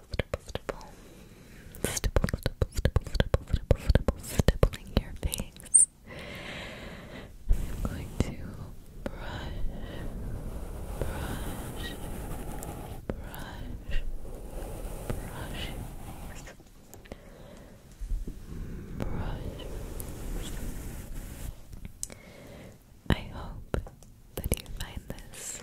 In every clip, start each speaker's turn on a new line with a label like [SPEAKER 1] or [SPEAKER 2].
[SPEAKER 1] stipple, stipple, stipple. Stipple, stipple, stipple, stipple, stippling your face. I'm going to brush, brush, brush, brush your face. Brush. I hope that you find this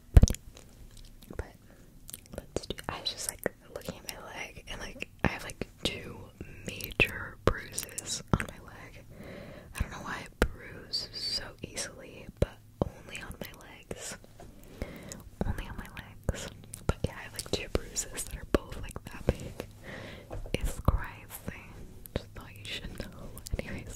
[SPEAKER 2] But, let's do. I was just like looking at my leg, and like I have like two major bruises on my leg. I don't know why I bruise so easily, but only on my legs.
[SPEAKER 1] Only on my legs. But yeah, I have like two bruises that are both like that big. It's crazy. Just thought you should know. Anyways,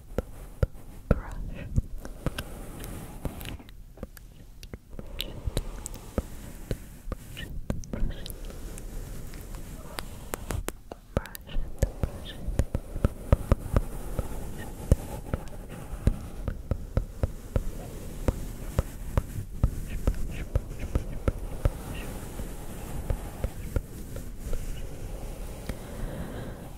[SPEAKER 1] brush. Brush it, brush it, brush it, brush it, brush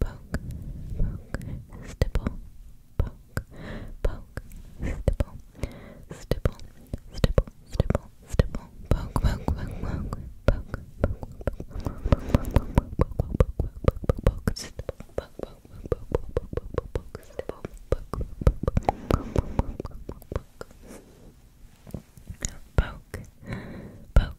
[SPEAKER 1] poke, poke, stipple, poke, poke, stipple, stipple, stipple, stipple, stipple, poke, poke, poke, poke, poke, poke, poke, poke, stipple, poke, poke, poke, poke, poke, stipple, poke, poke, poke, poke, poke, poke, poke,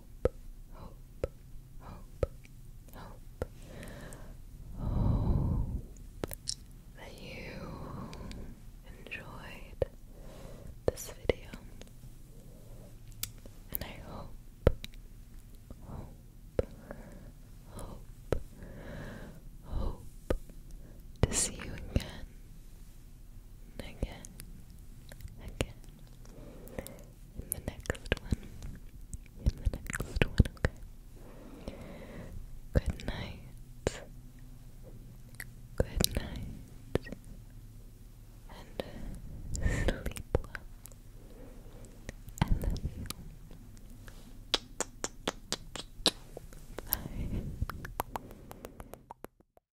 [SPEAKER 1] hope, hope, hope, hope, hope that you enjoyed this video, and I hope, hope, hope, hope to see you again, again, again in the next one. In the next one, okay. Good night. Good night. And sleep well. I love you. Bye.